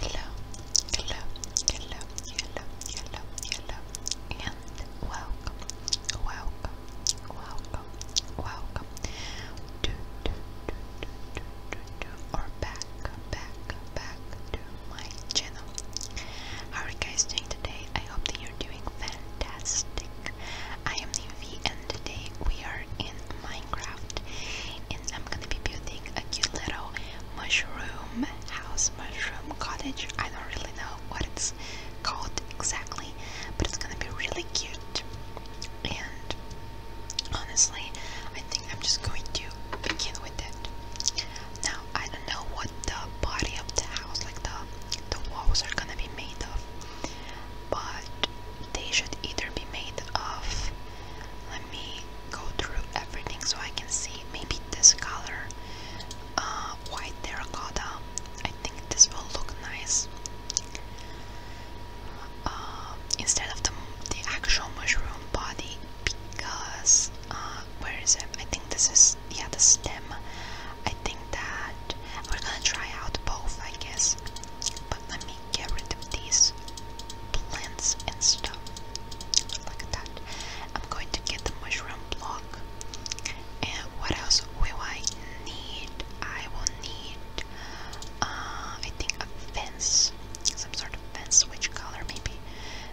Hello, hello, hello, hello, hello, hello, and welcome, welcome, welcome, welcome to, to, to, to, to, to, to or back, back, back to my channel. How are you guys doing today? I hope that you're doing fantastic. I am Nivi and today we are in my Minecraft, and I'm gonna be building a cute little mushroom house, mushroom cottage. I don't really know what it's called exactly, but it's gonna be really cute. And honestly, I think I'm just going to begin with it. Now I don't know what the body of the house, like the the walls, are gonna be made of, but they should either be made of let me go through everything so I can see. Maybe this color, uh, white terracotta. I think this will look nice. Uh, instead of the, the actual mushroom body because uh, where is it? I think this is yeah the stem. I think that we're gonna try out both I guess. But let me get rid of these plants and stuff like that. I'm going to get the mushroom block. And what else will I need? I will need, uh, I think a fence, some sort of fence. Which color? Maybe,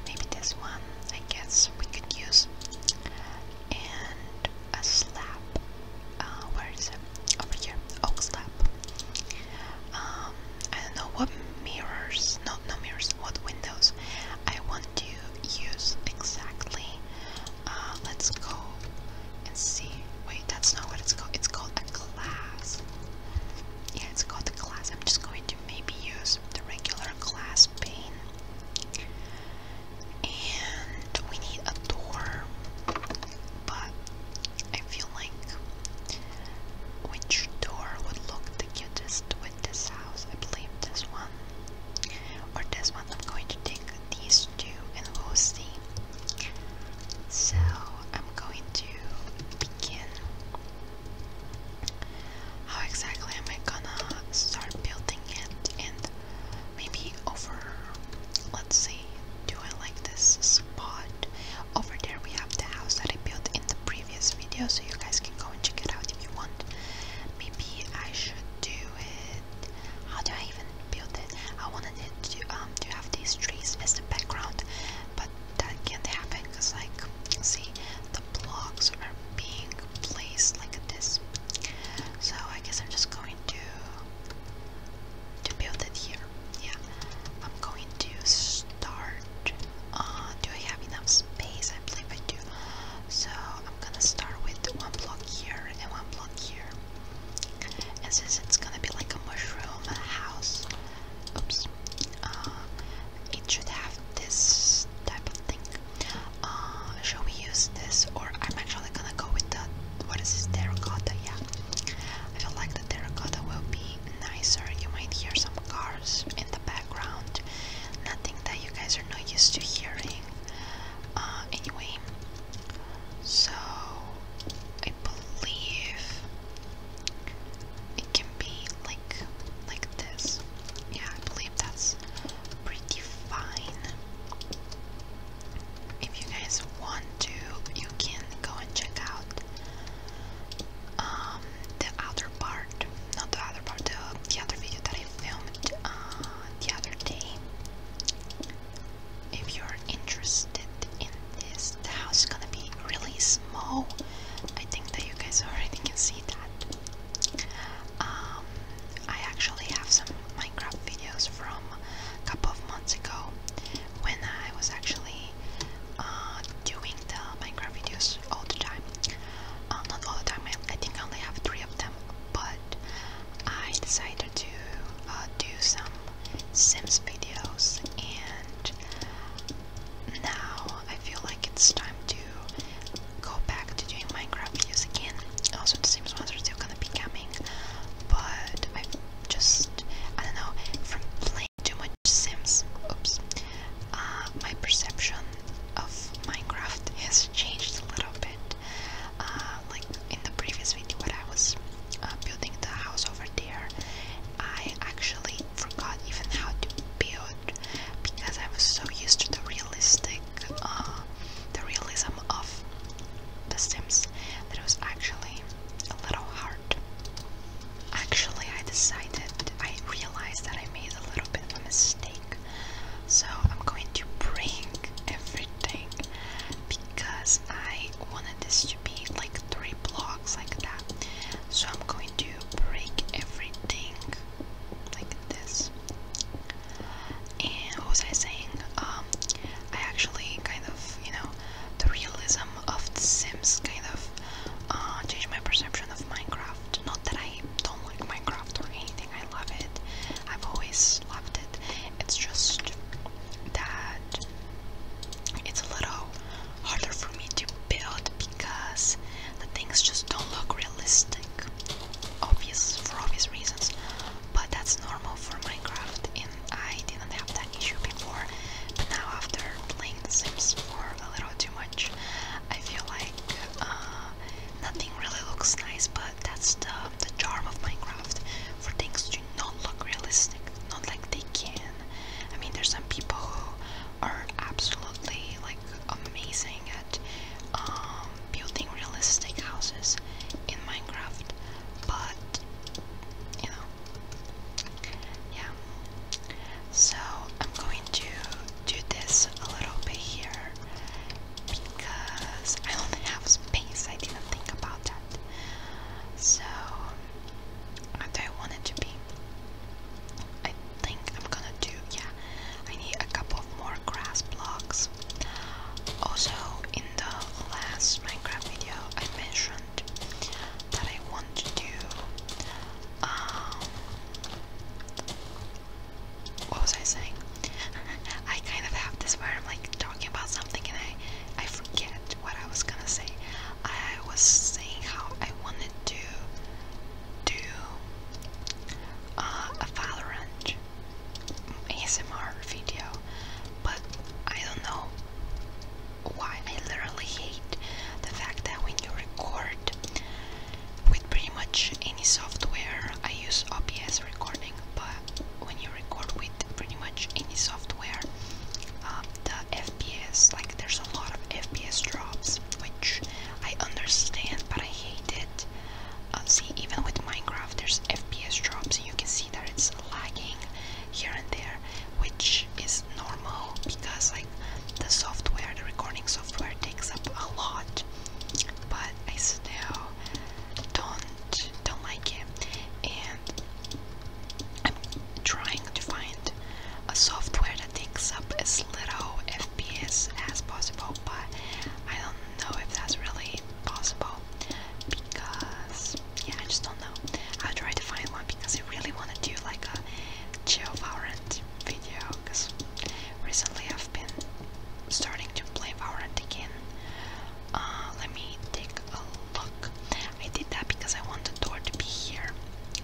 maybe this one. I guess we could use. And a slab. Uh, where is it? Over here. Oak slab. Um, I don't know what mirrors, no, no mirrors, what windows I want to use exactly. Uh, let's go and see. Wait, that's not what it's called. It's called a glass. Yeah, it's called a glass. I'm just going to maybe use the regular glass pane. And we need a door, but I feel like which door would look the cutest with this house? I believe this one. Or this one. I'm going to take these two and we'll see. So I'm going to begin. How exactly am I gonna start building it? And maybe over, let's see, do I like this spot. Over there we have the house that I built in the previous video, so you guys can go and check it out if you want. Maybe I should do it. How do I even build it? I wanted it to um to have these trees as the background, but that can't happen because like see the blocks are being placed like this. So I guess I'm just going to to build it here yeah, I'm going to start, uh, do I have enough space? I believe I do, so I'm gonna start with one block here and one block here, and since it's gonna be like a mushroom house, oops, uh, it should have this type of thing, uh, shall we use this, or I'm actually gonna go with the, what is this, terracotta, yeah, I feel like the terracotta will be be nicer. You might hear some cars in the background, nothing that you guys are not used to hearing. Uh, anyway, so I believe it can be like like this. Yeah, I believe that's pretty fine. If you guys want to, you can go and check out um, the other part, not the other part, the, the other video that I filmed uh, the other day. If you're interested in this, the house is gonna be really small. I think that you guys already can see that. Um, I actually have some Minecraft videos from a couple of months ago when I was actually uh, doing the Minecraft videos all the time. Uh, not all the time, I, think only have three of them, but I decided to uh, do some Sims videos, and now I feel like it's time to go back to doing Minecraft videos again. Also, the Sims ones are still gonna be coming, but just, I don't know, from playing too much Sims. Oops. Uh, my perception of Minecraft has changed a little bit. Uh, like in the previous video, when I was uh, building the house over there, I actually forgot even how to build because I was so used to the realistic, the realism of the Sims that it was actually a little hard part. Actually, I decided, I realized that I made a little bit of a mistake. So I'm going to break everything because I wanted this to be like three blocks like that. So I'm going to break everything like this. And what was I saying? Um, I actually kind of, you know, the realism of The Sims kind of uh, my perception of Minecraft. Not that I don't like Minecraft or anything, I love it. I've always loved it. It's just that it's a little harder for me to build because the things just don't look realistic. Obvious for obvious reasons. But that's normal for Minecraft and I didn't have that issue before, but now after playing The Sims for a little too much, I feel like uh, nothing really looks nice. But that's the the charm of Minecraft for things to not look realistic, not like they can. I mean, there's some people who are absolutely like amazing at um, building realistic houses in Minecraft, but you know, yeah. So I'm going to do this a little bit here because I don't have space. I didn't think about that. So how I wanted to be? I think I'm gonna do yeah. I need a couple more grass blocks. Also, in the last Minecraft video, I mentioned that I want to do um, what was I saying? I kind of have this where I'm like talking about something and I, I forget what I was gonna say. I was saying how I wanted to do uh, a Valorant ASMR video, but I don't know why I literally hate the fact that when you record with pretty much any software, I use OBS recording, but when you record with pretty much any software, um, the FPS, like there's a lot of FPS drops, which I understand, but I hate it. Uh, see, even with Minecraft, there's FPS drops, and you can see that it's lagging here and there, which is normal because like the software, the recording software takes up a lot. But I still don't don't like it, and I'm trying to find a software that takes up as little FPS as possible. But I don't know if that's really possible because yeah, I just don't know. I'll try to find one because I really want to do like a geo and video, because recently I've been starting to play Valorant again. Uh, let me take a look. I did that because I want the door to be here,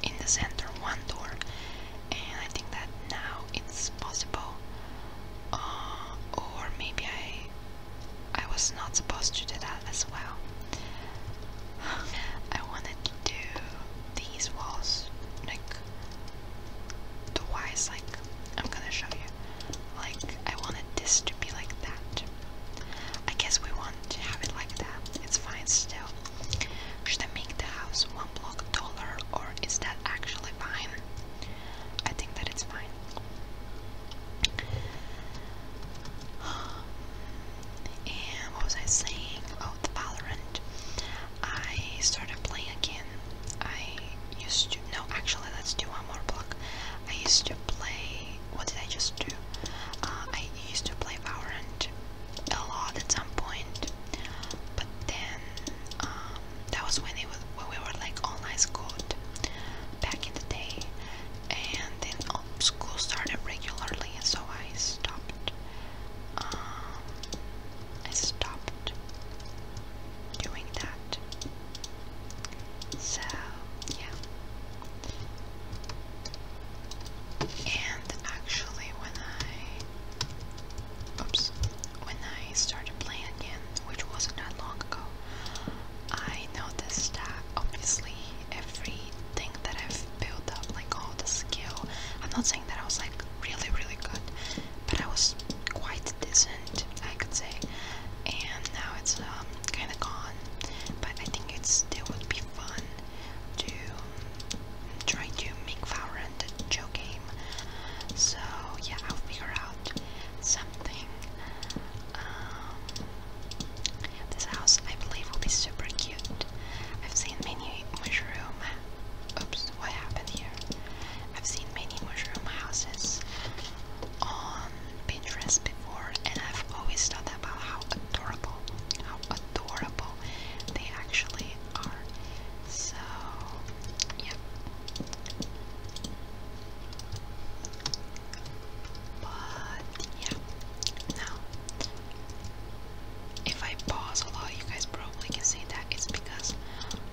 in the center, one door. And I think that now it's possible. Uh, or maybe I I was not supposed to do that as well. I wanted to do these walls, like the wise. like I'm gonna show you. Like I wanted this to be like that. I guess we want to have it like that. It's fine still. Should I make the house one block taller or is that actually fine? I think that it's fine. Um, and what was I saying? Oh, the Valorant. I started playing again. I used to. No, actually, let's do one more block. I used to play. What did I just do? Uh, I used to play Valorant a lot at some point, but then um, that was when it was when we were like all nice, good back in the day, and then school started regularly, and so I stopped. Um, I stopped doing that. So, yeah. And actually, when I, oops, when I started playing again, which wasn't that long ago, I noticed that obviously everything that I've built up, like all the skill. I'm not saying that I was like really, really good, but I was quite decent, I could say. And now it's um, kind of gone, but I think it still would be fun to um, try to make Valorant a Joe game. So yeah, I'll figure out something. Um, this house, I believe, will be super cute. I've seen many mushroom. Oops, what happened here? I've seen many mushroom houses on Pinterest before, and I've always thought about how adorable, how adorable they actually are. So, yeah. But yeah, now if I pause a lot, you guys probably can see that it's because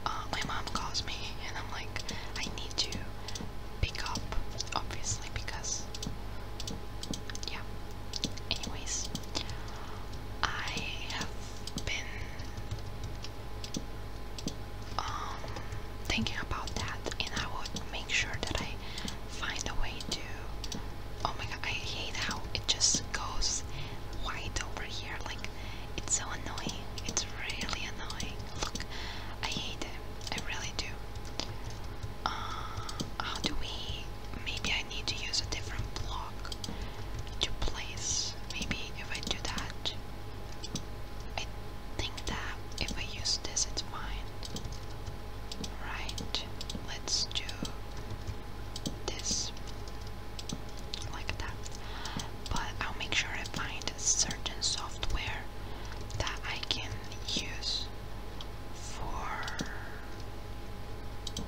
uh, my mom calls me and I'm like, I need to pick up, obviously, because yeah. Anyways, I have been um, thinking about that, and I would make sure that I find a way to. Oh my god, I hate how it just goes white over here. Like, it's so annoying. It's really annoying. Look, I hate it. I really do. Uh, how do we. Maybe I need to use a different block to place. Maybe if I do that. I think that if I use this, it's fine. Right, let's do this like that but I'll make sure I find certain software that I can use for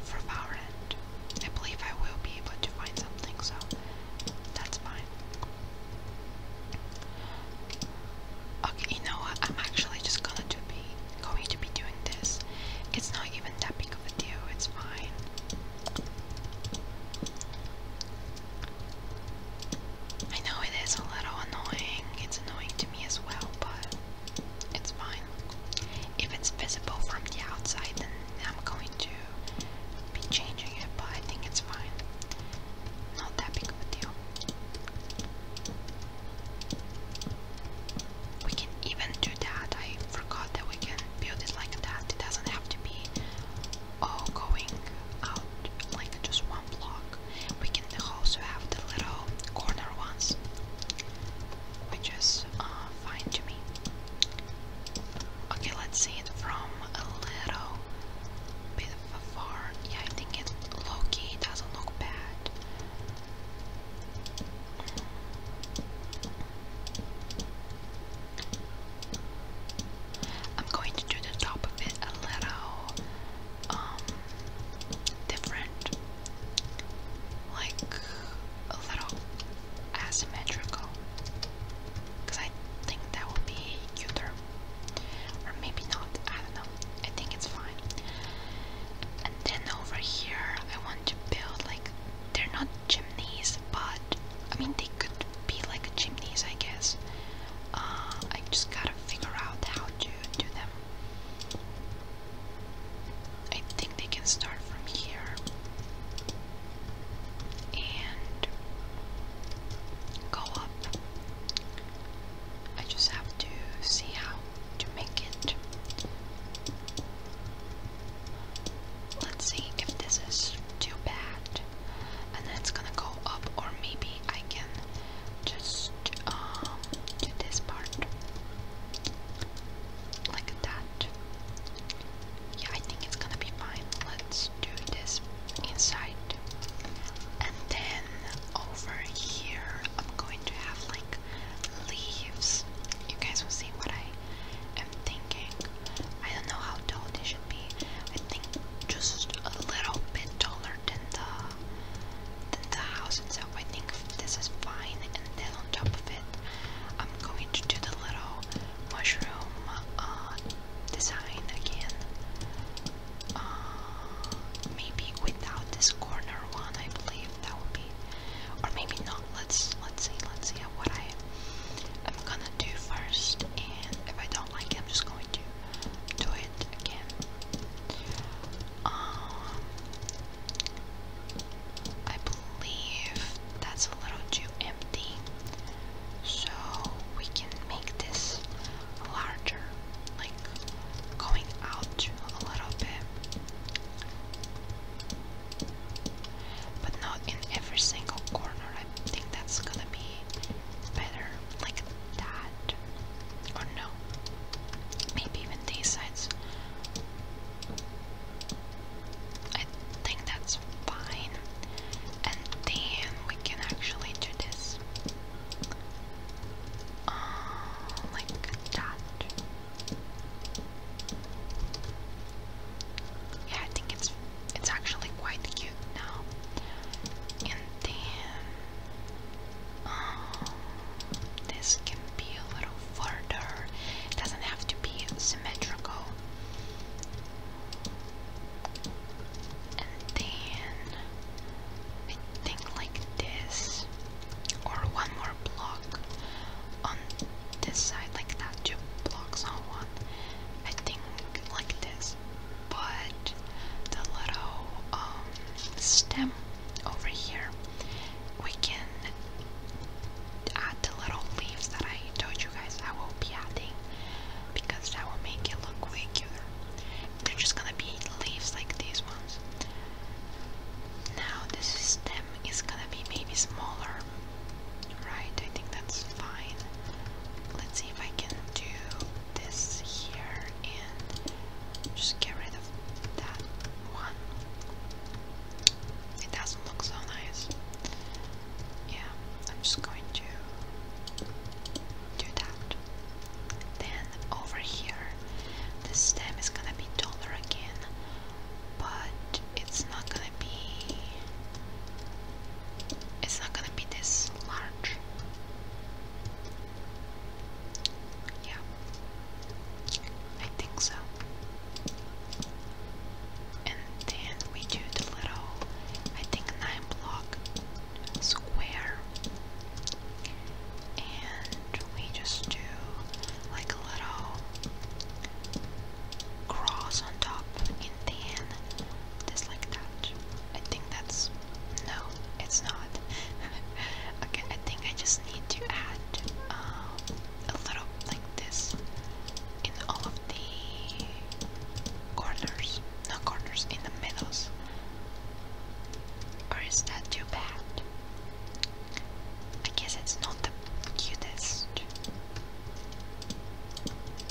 for Valorant I believe I will be able to find something so that's fine okay you know what I'm actually just gonna do be going to be doing this. It's not even that big of a deal, it's fine. I know it is a little annoying, it's annoying to me as well, but it's fine. If it's visible from the outside, then I'm going to be changing it, but I think it's fine. Not that big of a deal. We can even do that. I forgot that we can build it like that. It doesn't have to be all going out like just one block. We can also have the little corner ones, which is uh, fine to me. Okay, let's see it from a little bit far. Yeah, I think it's low It doesn't look bad. I'm going to do the top of it a little um different, like a little asymmetrical, because I think that would be cuter, or maybe not. I don't know. I think it's fine and then over here I want to build like they're not chimneys but I mean they could be like chimneys I guess uh, I just gotta figure out how to do them I think they can start from here and go up I just have to see how to make it. Let's see if this is too bad. And then it's gonna go up, or maybe I can just um, do this part like that. Yeah, I think it's gonna be fine. Let's do this inside, and then over here, I'm going to have like leaves. You guys will see what I am thinking. I don't know how tall they should be. I think just a little bit taller than the than the house itself. I think this is fine. And then on top of it, I'm going to do the little mushroom uh, design again. Uh, maybe without this corner one, I believe that would be, or maybe not. Let's let's see. Let's see what I am gonna do first, and if I don't like it, I'm just going to do it again. Um, I believe that's a little too empty, so we can make this larger, like going out a little bit but not in every single corner. I think that's gonna be better like that, or no, maybe even these sides. I think that's fine, and then we can actually do this uh, like that. Yeah, I think it's it's actually quite cute now. And then um, this can be a little further. doesn't have to be symmetrical. And then I like this or one more block on this side like that, two blocks on one. I think like this, but the little um, stem over here, we can add the little leaves that I told you guys I will be adding because that will make it look way cuter. They're just gonna be leaves like these ones. Now the stem is gonna be maybe smaller, right? I think that's fine. Let's see if I can do this here and just get rid of that one. It doesn't look so nice. Yeah, I'm just going to do that. Then over here the stem is gonna be taller again, but it's not gonna be it's not gonna be this large. Yeah. I think so. And then we do the little I think nine block square and we just do like a little cross on top in tan, just like that. I think that's no, it's not. okay, I think I just need to add um, a little like this in all of the corners, not corners, in the middles. Or is that too bad? I guess it's not the cutest.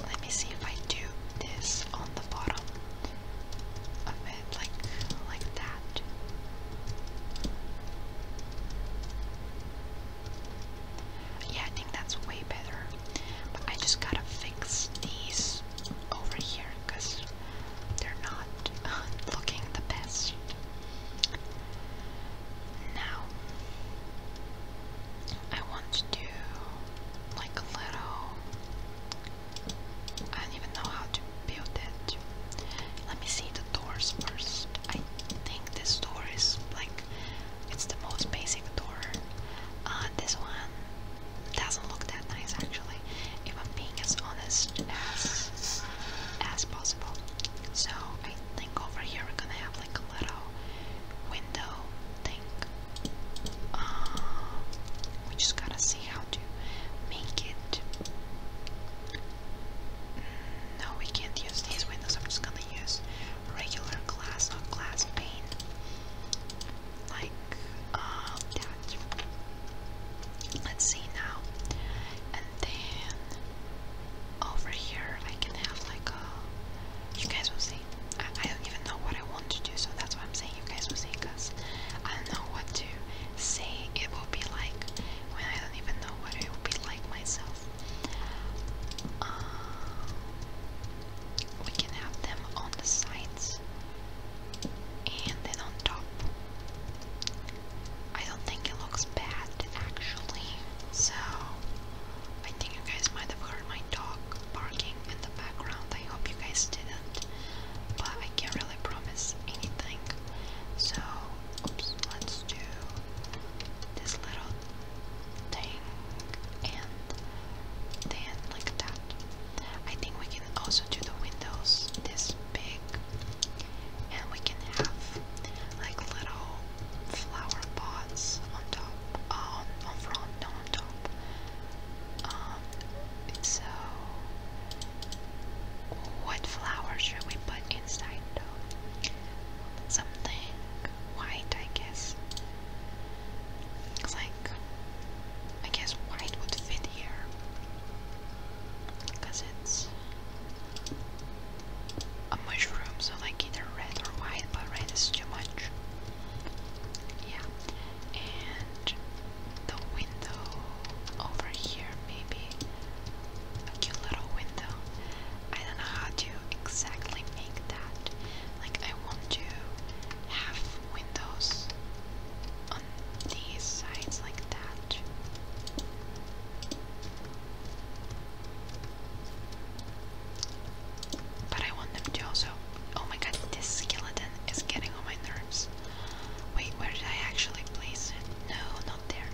Let me see if I do this on the bottom of it, like like that. Yeah, I think that's way better. But I just gotta fix these over here because they're not uh, looking the best. Now, I want to do like a little. I don't even know how to build it. Let me see the doors first. I think this door is like it's the most basic door. Uh, this one doesn't look that nice actually. If I'm being as honest as as possible. So I think over here we're gonna have like a little window thing. Um, we just gotta see how to make it. Mm, no, we can't use these windows. I'm just gonna use regular glass, not glass pane, like um, that. Let's see now, and then over here I can have like a, you guys will see, I, don't even know what I want to do, so that's why I'm saying you guys will see, because I don't know what to say it will be like, when I don't even know what it will be like myself. Um, we can have them on the sides and then on top I don't think it looks bad actually, so I think you guys might have heard my dog barking in the background. I hope you guys didn't, but I can't really promise anything. So, let's do this little thing and then like that. I think we can also do the windows this big and we can have like little flower pots on top, um, on front, no on top. Um, so what flower should we put inside though? Something white, I guess. Like, I guess white would fit here because it's a mushroom, so like either red or white, but red is too much. Yeah, and the window over here, maybe a cute little window. I don't know how to exactly make that. Like, I want to have windows on these sides like that. But I want them to also. Oh my god, this skeleton is getting on my nerves. Wait, where did I actually place it? No, not there.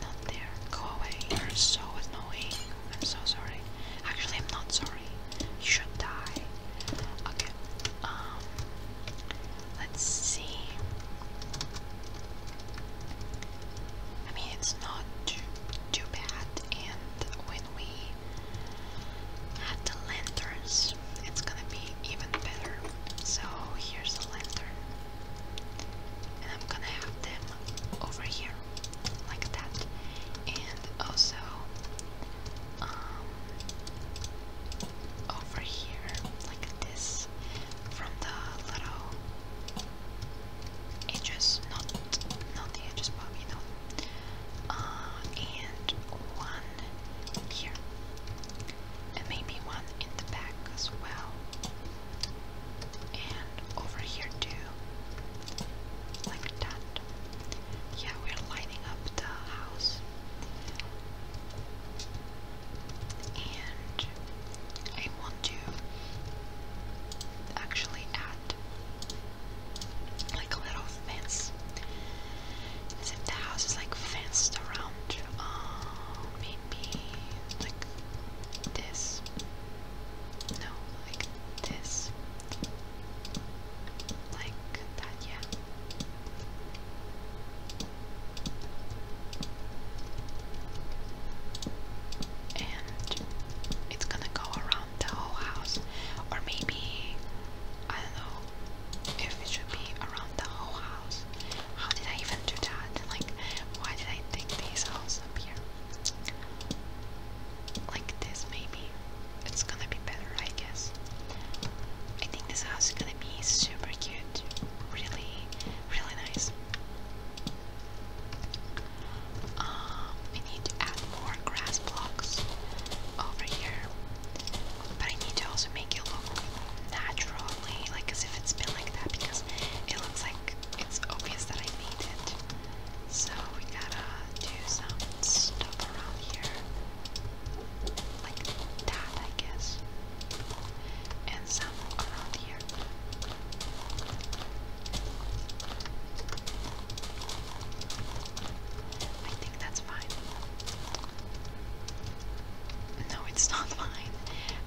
Not there. Go away. You're so annoying. I'm so sorry. Actually, I'm not sorry. You should die. Okay. Um. Let's see. I mean, it's not too bad. And when we add the lanterns, it's gonna be even better. So here's a lantern, and I'm gonna have them over here, like that. And also, um, over here, like this from the little edges, not not the edges, but you know, uh, and one here, and maybe one in the back as well, and over here too, like that. Yeah, we're lining up the house and I want to actually add like a little fence since if the house is like fenced around uh, maybe like this no like this like that yeah and it's gonna go around the whole house or maybe I don't know if it should be around the whole house how did I even do that like why did I take this house up here like this maybe it's gonna be better I guess I think this house is gonna be super cute really really nice um, we need to add more grass blocks over here, but I need to also make it look naturally, like as if it's been like that, because it looks like it's obvious that I made it. So we gotta do some stuff around here, like that, I guess. And so I think that's fine. No, it's not fine.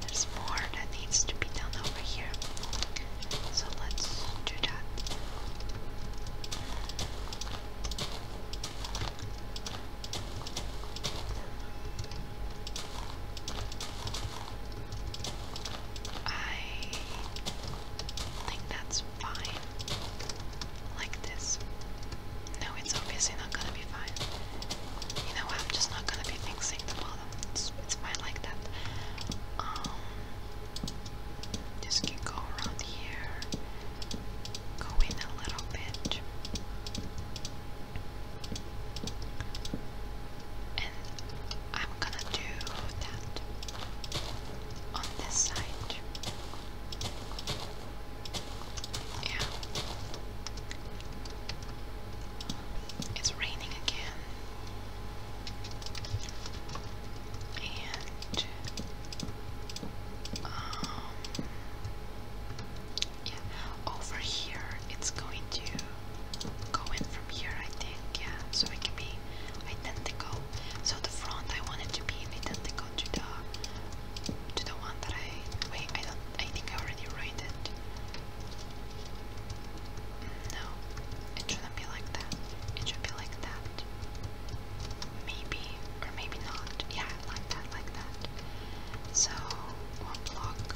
There's more that needs to be done over here. So let's do that. I think that's fine. Like this. No, it's obviously not gonna be fine. You know what? I'm just not gonna be fixing the bottom. It's, it's fine like that. Um, just go around here, go in a little bit. And I'm gonna do that on this side. Yeah. It's raining again. And um yeah, over here it's going to go in from here, I think, yeah, so it can be identical. So the front, I wanted to be identical to the to the one that I wait. I don't. I think I already wrote it. No, it shouldn't be like that. It should be like that. Maybe or maybe not. Yeah, like that, like that. So one block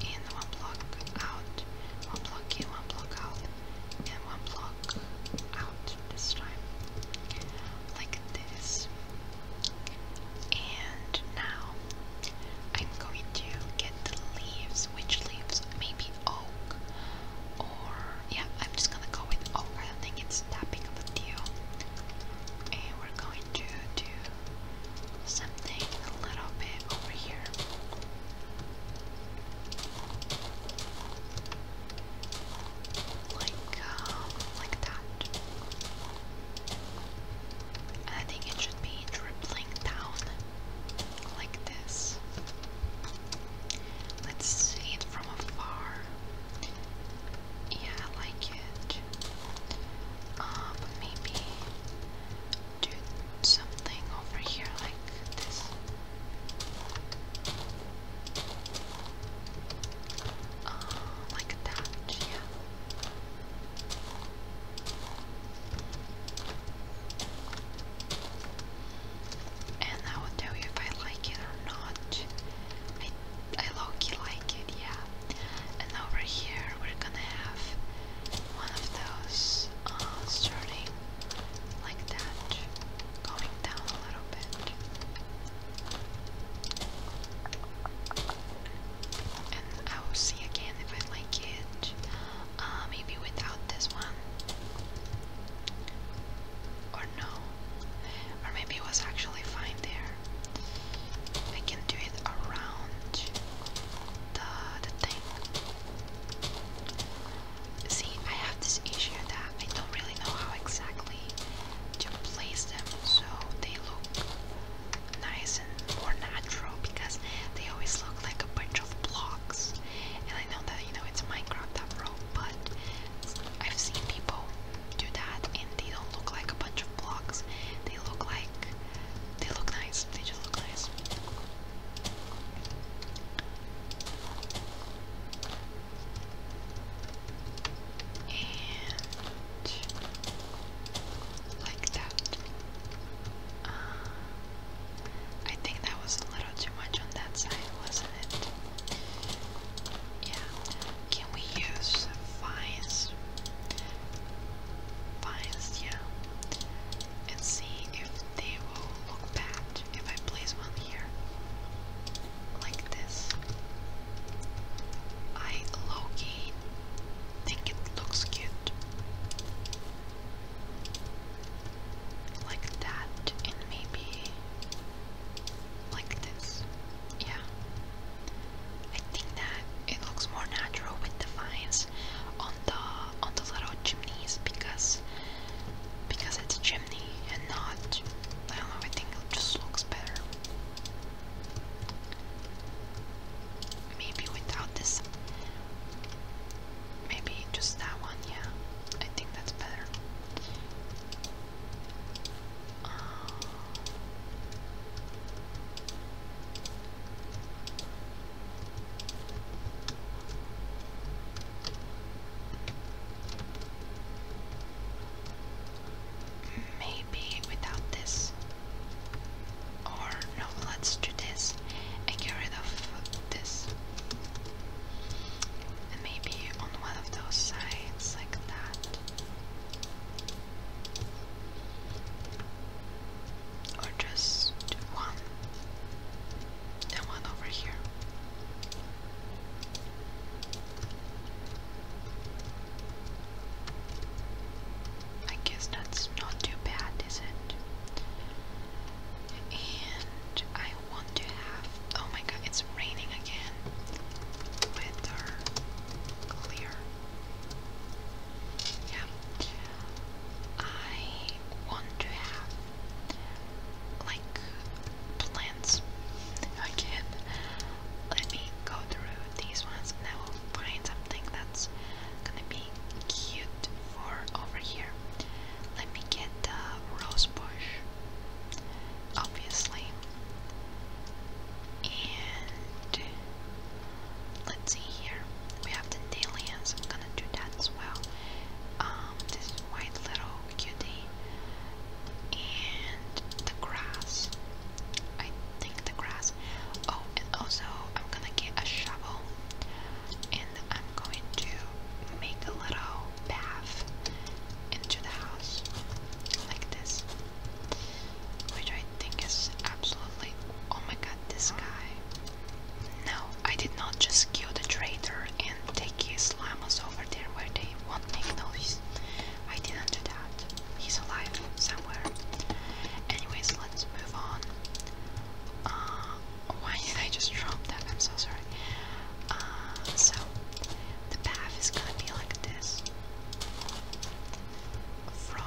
in, one block out, one block in, one block out, and one block out this time, like this. And now I'm going to get the leaves, which leaves? Maybe oak, or yeah, I'm just gonna go with oak. I don't think it's that big of a deal. And we're going to do something a little bit over here. Like, um, like that. I think it should be dribbling down like this. Let's see it from afar. Yeah, I like it. Um, uh, maybe do something over here like this. Uh, like that, yeah. And I will tell you if I like it or not. I I low like it, yeah and over here we're gonna have one of those uh, starting like that, going down a little bit. And I will see again if I like it. Uh, maybe without this one. Or no. Or maybe it was actually fine there. I can do it around the, the thing. See, I have this issue that I don't really know how exactly to place them so they look nice and more natural because they always look like a bunch of blocks. And I know that, you know, it's Minecraft after all, but I've seen people do that and they don't look like a bunch of blocks. They look like they look nice. They just look nice. And like that. Uh, I think that was a little too much on that side, wasn't it? Yeah. Can we use vines? Vines, yeah and see if they will look bad if I place one here. Like this. I low think it looks cute. Like that, and maybe like this. Yeah. I think that it looks more natural with the the on the little chimneys because because it's a chimney and not I don't know I think it just looks better. Maybe without this maybe just that one, yeah. I think that's better. Uh, Maybe without this. Or no, let's do this and get rid of this. And maybe on one of those sides like that or just one, then one over here. I guess that's not too bad, is it? And I want to have. Oh my god, it's raining again. Weather clear. Yeah. I want to have like plants again. Let me go through these ones and I will find something that's gonna be cute for over here. Let me get the rose bush, obviously. And let's see here. We have the aliens. I'm gonna do that as well. Um, this white little cutie and the grass. I think the grass. Oh, and also I'm gonna get a shovel and I'm going to make a little path into the house like this, which I think is absolutely. Oh my god, this guy. No, I did not just kill the traitor and take his llamas over there where they won't make noise. I didn't do that. He's alive somewhere. Anyways, let's move on. Uh, why did I just drop that? I'm so sorry. Uh, so, the path is gonna be like this. From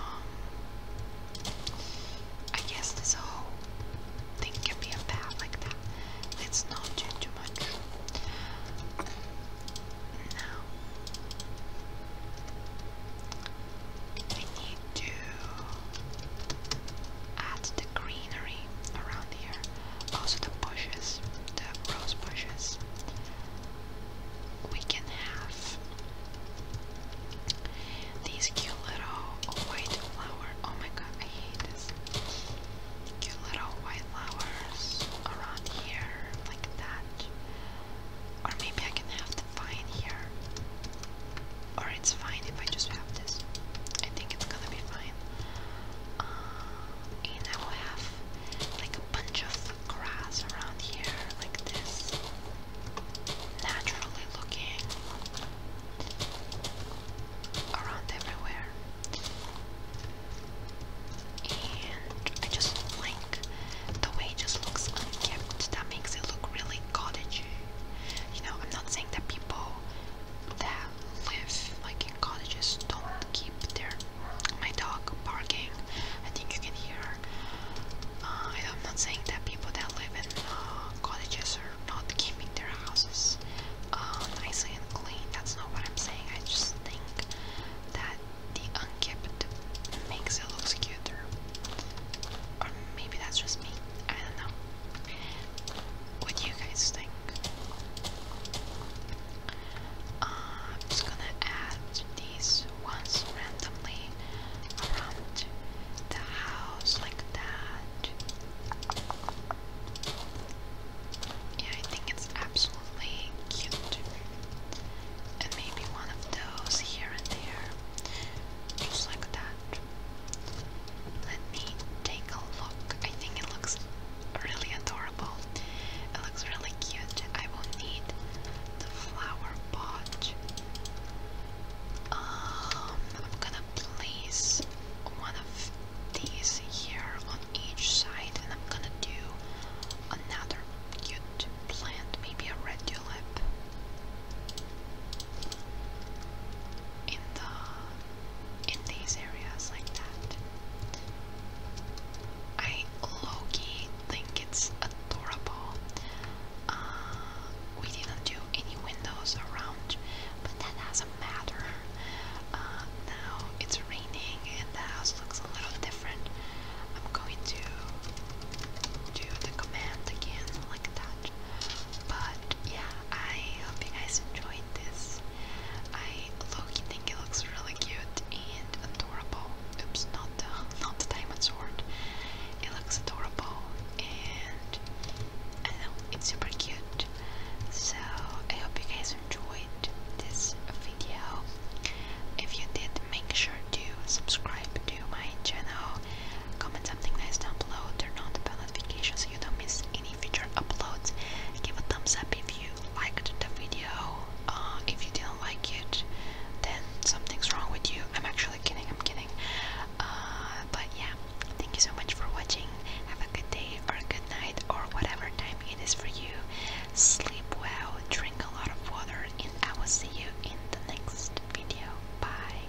I guess this whole thing can be a path like that. Let's not do too much. Now, I need to add the greenery around here. Also the bushes, the rose bushes. We can have these cute little white flower. Oh my god, I hate this. Cute little white flowers around here, like that. Or maybe I can have the vine here. Or it's fine if I just have this. I think it's gonna be fine. Uh, and I will have like a bunch of grass around here, like this naturally looking around everywhere. And I just like the way it just looks unkempt. That makes it look really cottagey. You know, I'm not saying that people that live like in cottages don't keep their my dog barking. I think you can hear. Uh, I'm not saying that people that live in uh, cottages are not keeping their houses uh, nicely and clean. That's not what I'm saying. I just think that the unkept makes it look cuter. maybe that's just me. I don't know. What do you guys think? Uh, I'm just gonna add these ones randomly going around the house like that. Yeah, I think it's absolutely cute. And maybe one of those here and there. Just like that. Let me take a look. I think it looks really adorable. It looks really cute. I will need the flower pot. Um, I'm gonna place one of these here on each side, and I'm gonna do another cute plant, maybe a red In the in these areas like that. I low think it's adorable. Uh, we didn't do any windows around, but that doesn't matter. Uh, now it's raining and the house looks a little different. I'm going to do the command again like that. But yeah, I hope you guys enjoyed this. I look, key think it looks really cute and adorable. Oops, not the, not the diamond sword. It looks adorable and it's super cute. So I hope you guys enjoyed this video. If you did, make sure to subscribe to my channel, comment something nice down below, turn on the bell notifications so you don't miss any future uploads. Give a thumbs up if you liked the video. Uh, if you didn't like it, then something's wrong with you. I'm actually kidding, I'm kidding. Uh, but yeah, thank you so much for watching. Have a good day or a good night or whatever time it is for you. Sleep well, drink a lot of water, and I will see you in the next video. Bye.